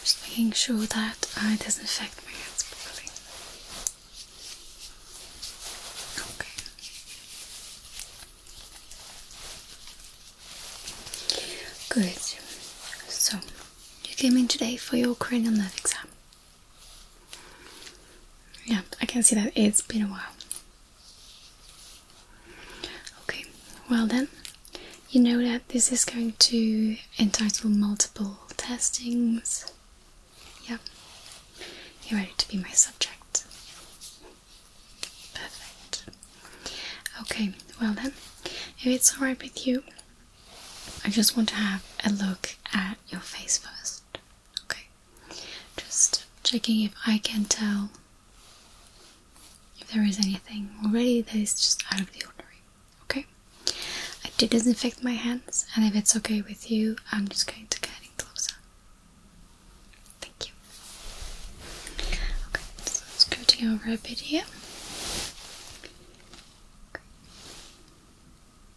Just making sure that I disinfect my hands properly. Okay. Good. So, you came in today for your cranial nerve exam. Yeah, I can see that it's been a while. Okay, well then, you know that this is going to entitle multiple testings. Yep. you're ready to be my subject. Perfect. Okay, well then, if it's alright with you, I just want to have a look at your face first. Okay. Just checking if I can tell if there is anything already that is just out of the ordinary. Okay. I did disinfect my hands, and if it's okay with you, I'm just going to get in closer. Thank you. Okay, scooting over a bit here. Right.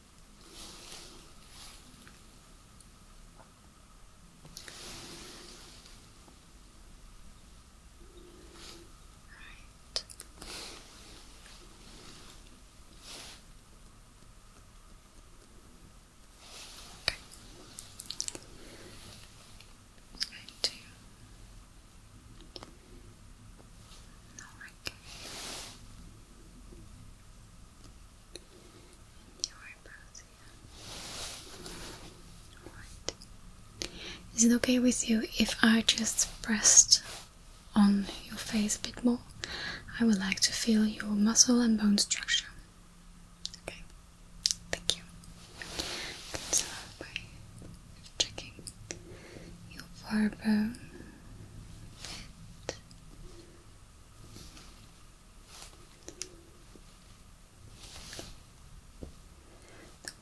Okay. I do. No, is it okay with you if I just pressed on your face a bit more? I would like to feel your muscle and bone structure. Okay, thank you. Okay, so by checking you barbell bit.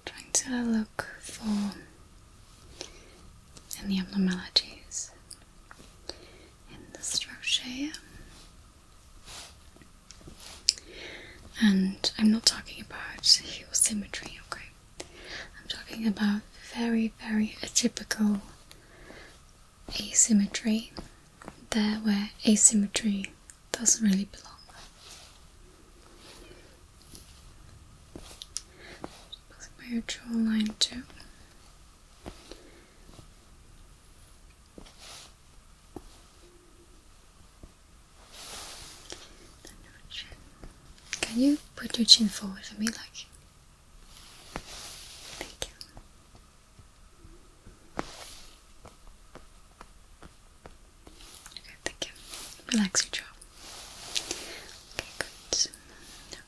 I'm trying to look for any abnormalities in the structure And I'm not talking about heel symmetry, okay? I'm talking about very, very atypical asymmetry, there where asymmetry doesn't really belong. Just my jawline too. Can you put your chin forward for me like Thank you. Okay, thank you. Relax your jaw. Okay, good. No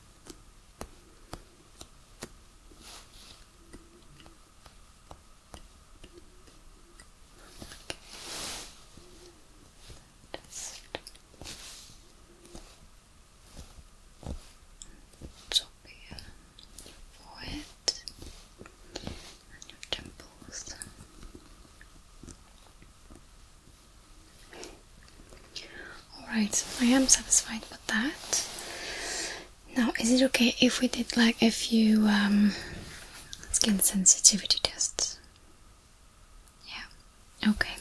just your forehead and your temples. Alright, I am satisfied with that. Now, is it okay if we did like a few um, skin sensitivity tests? Yeah, okay.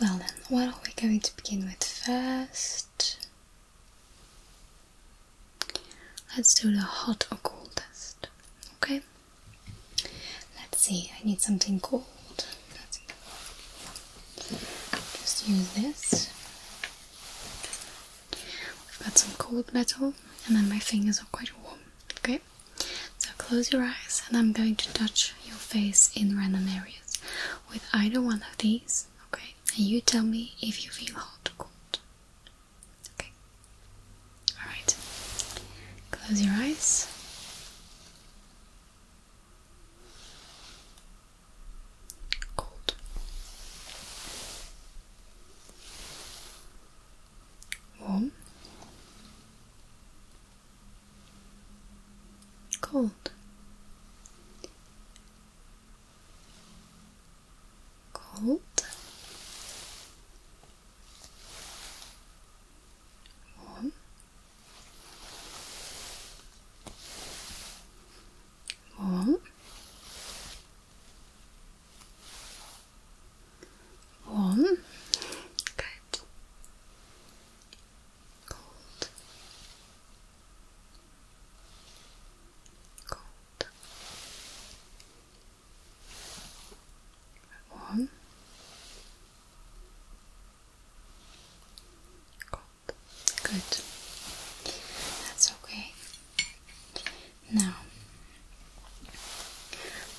Well then, what are we going to begin with first? Let's do the hot or cold test. Okay? Let's see, I need something cold. just use this. We've got some cold metal, and then my fingers are quite warm. Okay? So close your eyes, and I'm going to touch your face in random areas with either one of these, okay? And you tell me if you feel hot or cold. Okay? Alright. Close your eyes. Cold. Warm cold, cold, warm, warm. One, Good. Cold. Cold. Warm. Cold. Good. That's okay. Now,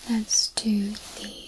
let's do the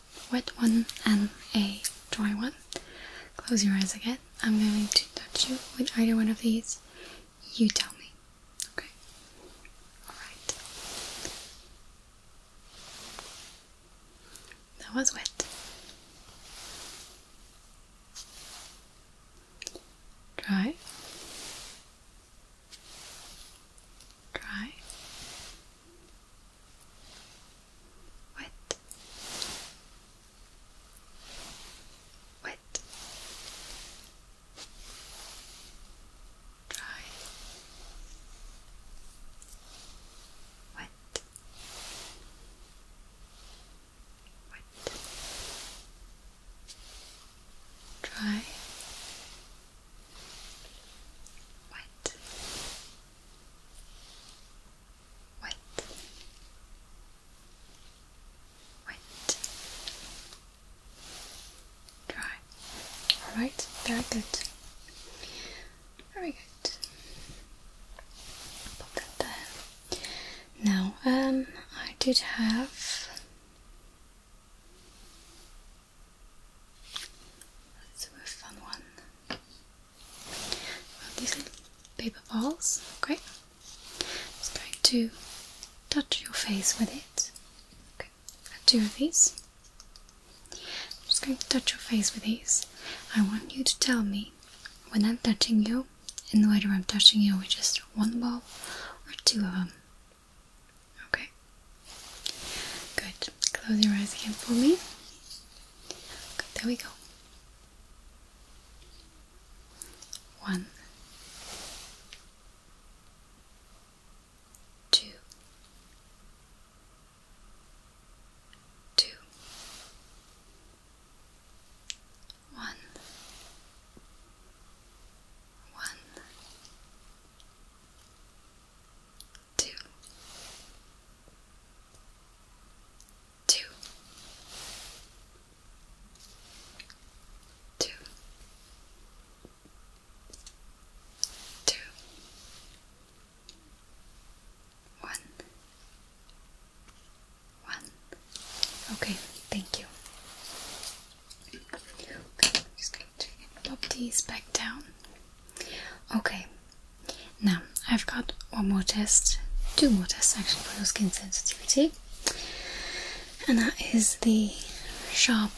wet one and a dry one. Close your eyes again. I'm going to touch you with either one of these. You tell me. Okay? Alright. That was wet. Dry. Dry wet, wet, dry, wet, wet, dry, wet white, white, dry. All right, very good, very good. Put that there. Now, um, I did have. let a fun one these little paper balls, okay? I'm Just going to touch your face with it. I've two of these. I'm just going to touch your face with these. I want you to tell me when I'm touching you and whether I'm touching you with just one ball or two of them. Okay? Good. Close your eyes again for me there we go. One, two, two, one, one, two, two, two, two, one, one. Okay, thank you. just going to pop these back down. Okay, now I've got one more test, two more tests actually for your skin sensitivity, and that is the sharp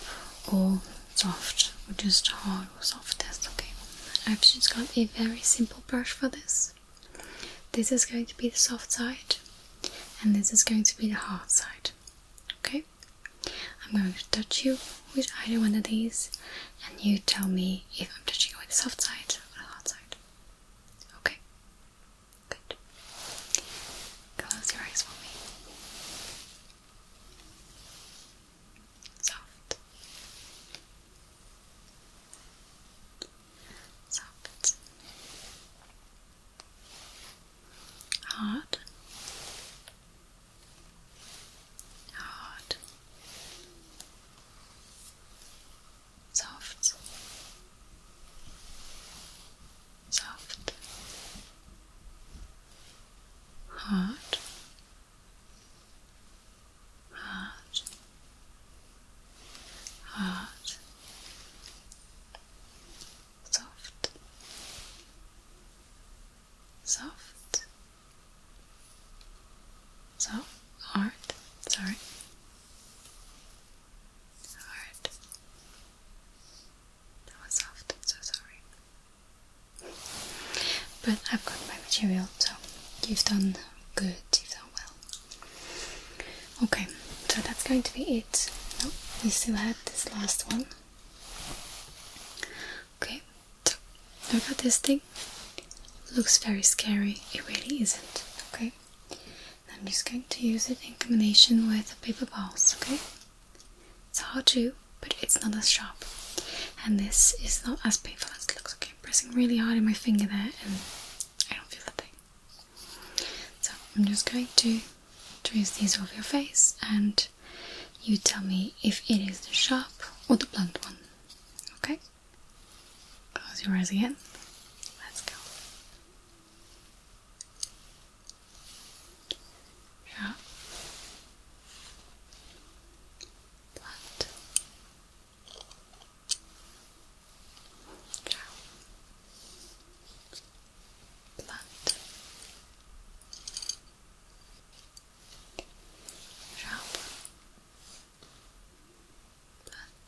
or soft, or just hard or soft test. Okay, I've just got a very simple brush for this. This is going to be the soft side, and this is going to be the hard side. Okay, I'm going to touch you with either one of these and you tell me if I'm touching it with the soft side or the hard side. Okay? Good. Close your eyes for me. Soft. Soft. Hard hard, soft, soft, hard, hard, hard, soft. Soft, so, art. sorry. Heart. That was soft, so sorry. But I've got my material, so you've done good, you've done well. Okay, so that's going to be it. we still had this last one. Okay, so, look at this thing. Looks very scary. It really isn't. Okay. I'm just going to use it in combination with paper balls. Okay. It's hard to, but it's not as sharp. And this is not as painful as it looks. Okay, pressing really hard on my finger there, and I don't feel that thing. So I'm just going to trace these over your face, and you tell me if it is the sharp or the blunt one. Okay? Close your eyes again. Let's go. Yeah. Left. Ciao. Blood sharp but sharp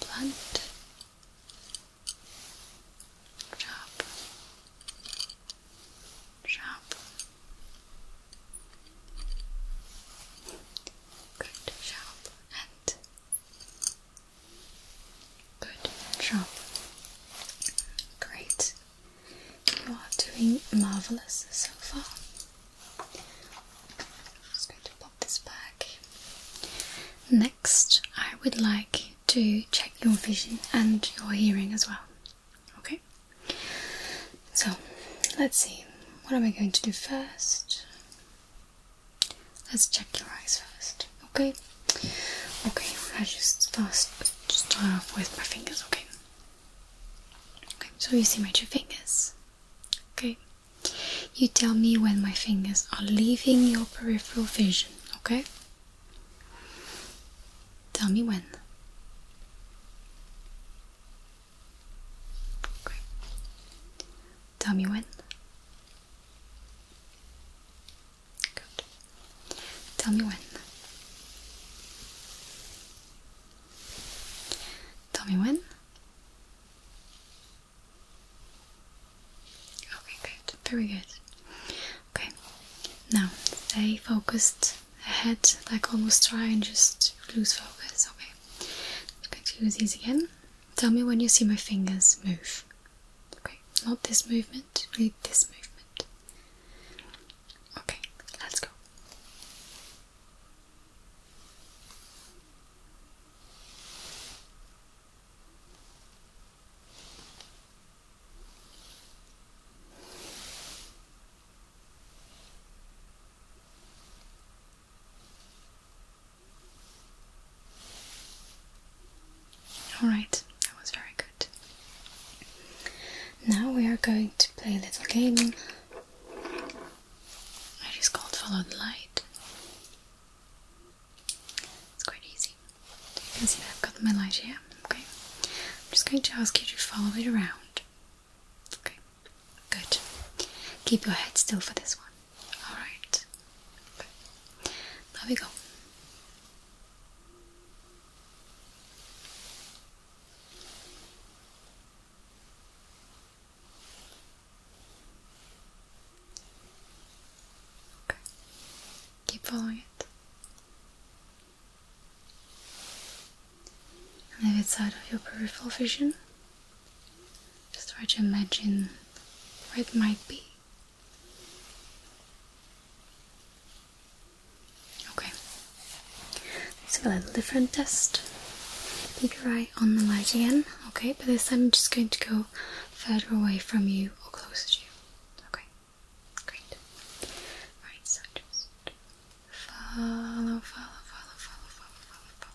blunt sharp sharp good sharp and Good job. Great. You are doing marvelous so far. just going to pop this back. Next, I would like to check your vision and your hearing as well. Okay? So, let's see. What am I going to do first? Let's check your eyes first, okay? Okay, I just first start off with my fingers, okay? Okay, so you see my two fingers, okay? You tell me when my fingers are leaving your peripheral vision, okay? Tell me when. Okay. Tell me when. Good. Tell me when. Tell me when. Okay, good. Very good. Okay. Now stay focused ahead, like almost try and just lose focus. Okay. I'm do these again. Tell me when you see my fingers move. Okay, not this movement, only this movement. Okay, let's go. Alright, that was very good. Now we are going to play a little game. It is called Follow the Light. It's quite easy. you can see I've got my light here. Okay. I'm just going to ask you to follow it around. Okay. Good. Keep your head still for this one. Alright. There we go. Okay. Keep following it. And it's out of your peripheral vision, just try to imagine where it might be. Okay, So us do a little different test. Keep your eye on the light again, okay? But this time I'm just going to go further away from you or closer to you. Okay, great. Right, so just follow, follow, follow, follow, follow, follow, follow.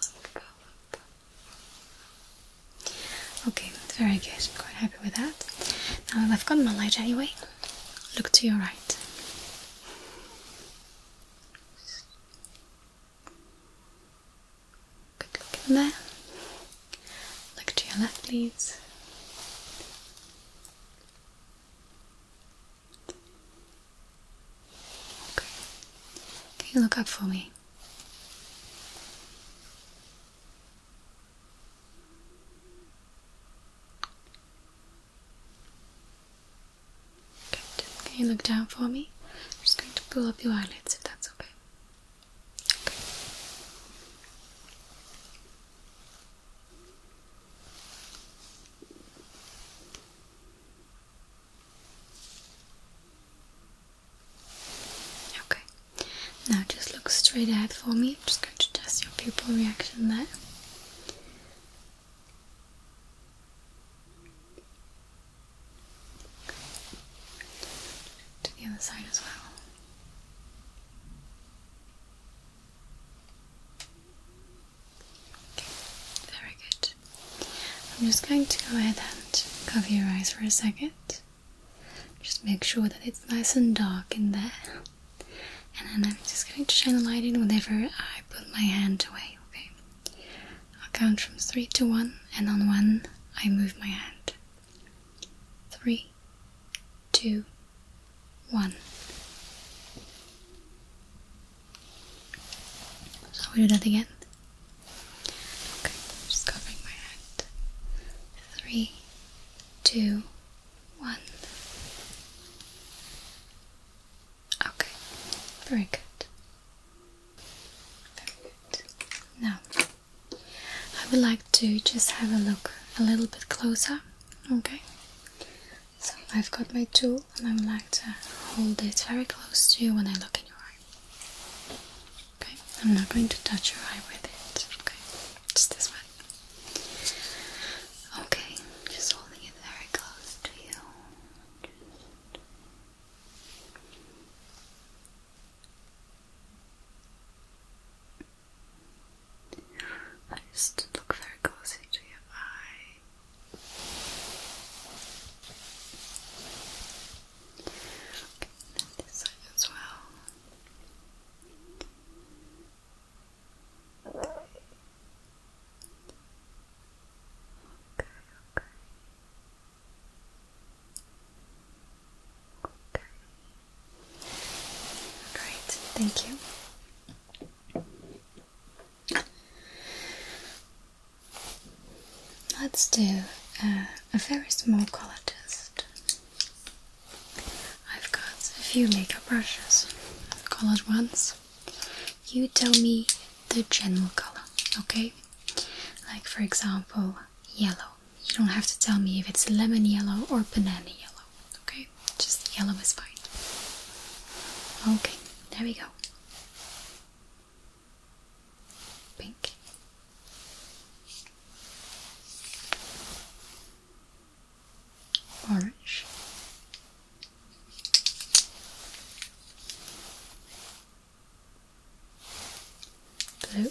follow, follow. Okay, very good. I'm quite happy with that. Now I've got my light anyway. Look to your right. Good look there. Look to your left, please. Okay. Can you look up for me? Good. Can you look down for me? I'm just going to pull up your eyelids if that's okay. Okay. Okay, now just look straight ahead for me. I'm just going to test your pupil reaction there. To the other side as well very good. I'm just going to go ahead and cover your eyes for a second. Just make sure that it's nice and dark in there. And then I'm just going to shine the light in whenever I put my hand away, okay? I'll count from three to one, and on one, I move my hand. Three, two, one. So we do that again. Okay, just covering my head. Three, two, one. Okay, very good. Very good. Now, I would like to just have a look a little bit closer. Okay, so I've got my tool and I am like to hold it very close to you when I look in your eye. Okay, I'm not going to touch your eye with it. Okay, just this one. Okay, just holding it very close to you. I just look very closely to your eye and this side as well. Okay, okay. Okay. Great, thank you. Let's do uh, a very small color test. I've got a few makeup brushes, colored ones. You tell me the general color, okay? Like, for example, yellow. You don't have to tell me if it's lemon yellow or banana yellow, okay? no, just yellow is fine. Okay, there we go. Pink. Orange. Blue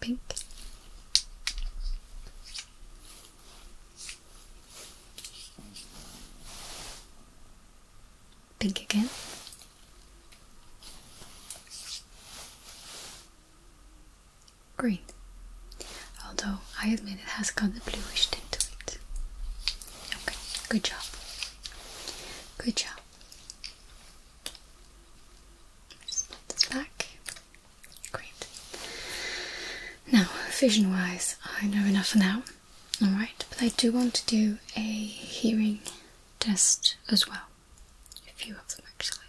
pink. Pink again. Green. Although I admit it has got a bluish tint to it. Okay, good job. Good job. put this back. Great. Now, vision wise, I know enough for now. Alright, but I do want to do a hearing test as well. A few of them actually.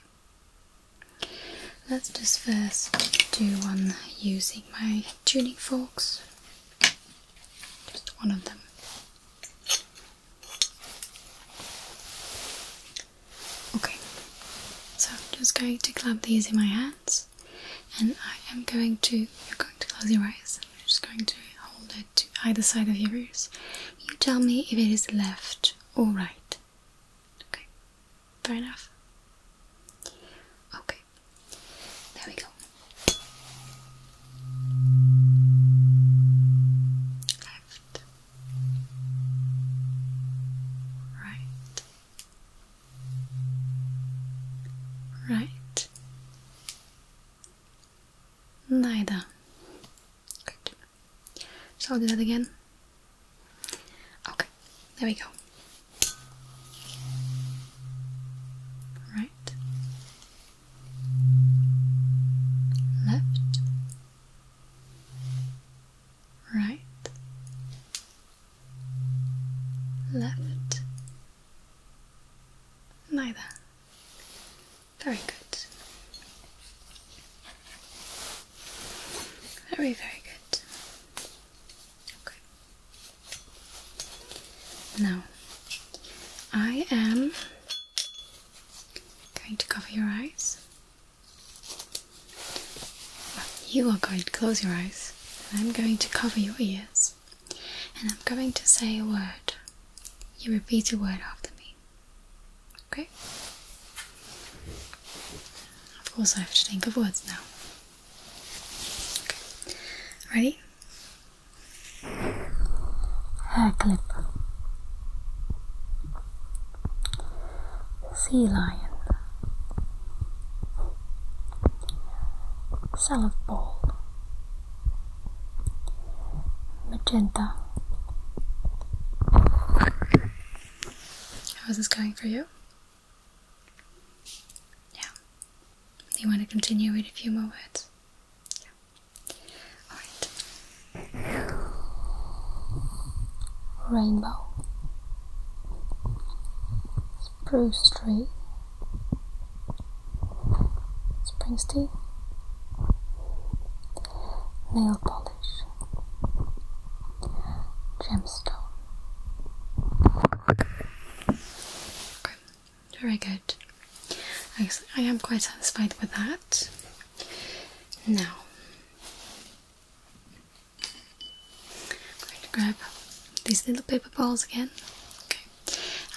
Let's just first do one using my tuning forks. Just one of them. Okay, so I'm just going to clap these in my hands, and I am going to. You're going to close your eyes. I'm just going to hold it to either side of your ears. You tell me if it is left or right. Okay, fair enough. Okay, there we go. Left, right, right, neither. So I'll do that again. Okay, there we go. Right, left, right, left, Neither. Very good. Very, very good. Okay. Now, I am going to cover your eyes. You are going to close your eyes, and I'm going to cover your ears, and I'm going to say a word. You repeat a word after me. Okay? Of course, I have to think of words now. Ready? Hair clip sea lion, salad ball magenta. How's this going for you? Yeah. you want to continue? Wait a few more words. Yeah. Alright rainbow, spruce tree, springsteen, nail polish, gemstone. very good. Actually, I am quite satisfied with that. Now, I'm going to grab these little paper balls again. Okay,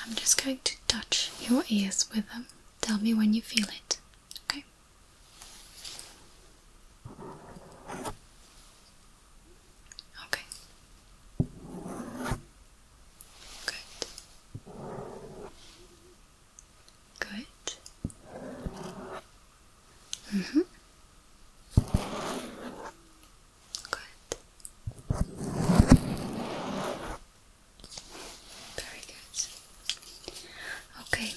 I'm just going to touch your ears with them. Tell me when you feel it. Okay. Okay. Good. Good. hmm Good. Very good. Okay.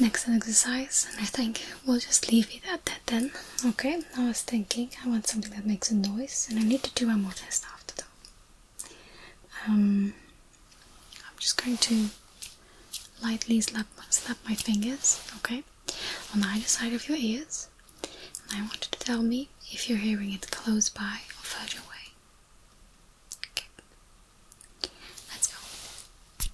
Next exercise, and I think we'll just leave it at that then. Okay, I was thinking I want something that makes a noise, and I need to do a more test after that. Um, I'm just going to lightly slap, slap my fingers, okay, on either side of your ears. And I want you to tell me if you're hearing it close by or further away. Okay, let's go.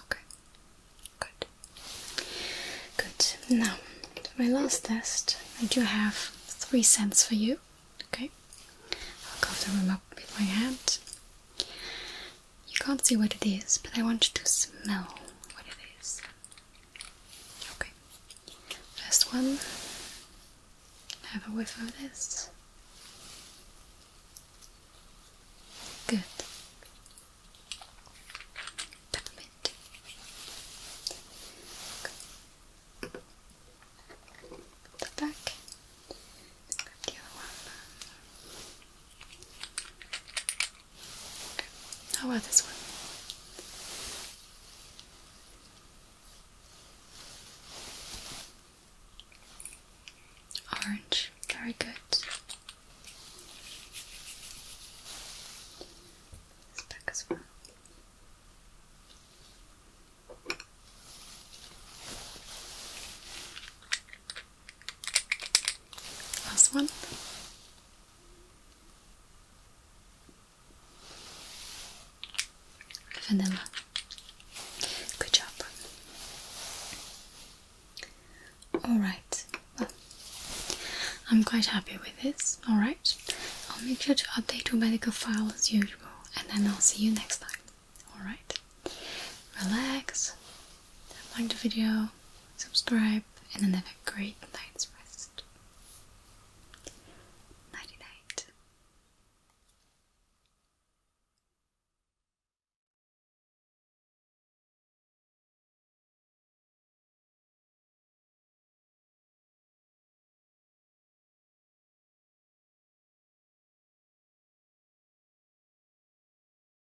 Okay, good. Good. Now, my last test, I do have three cents for you. Okay, I'll cover them up with my hand. You can't see what it is, but I want you to smell what it is. Okay. First one. Have a whiff of this. Good. Peppermint. Good. back. the other one. How about this one? Orange, very good. back as well. Last one. Vanilla. Good job. Alright, well, I'm quite happy with this, alright? I'll make sure to update your medical file as usual and then I'll see you next time, alright? Relax, like the video, subscribe, and then have a great night's rest. Nighty night.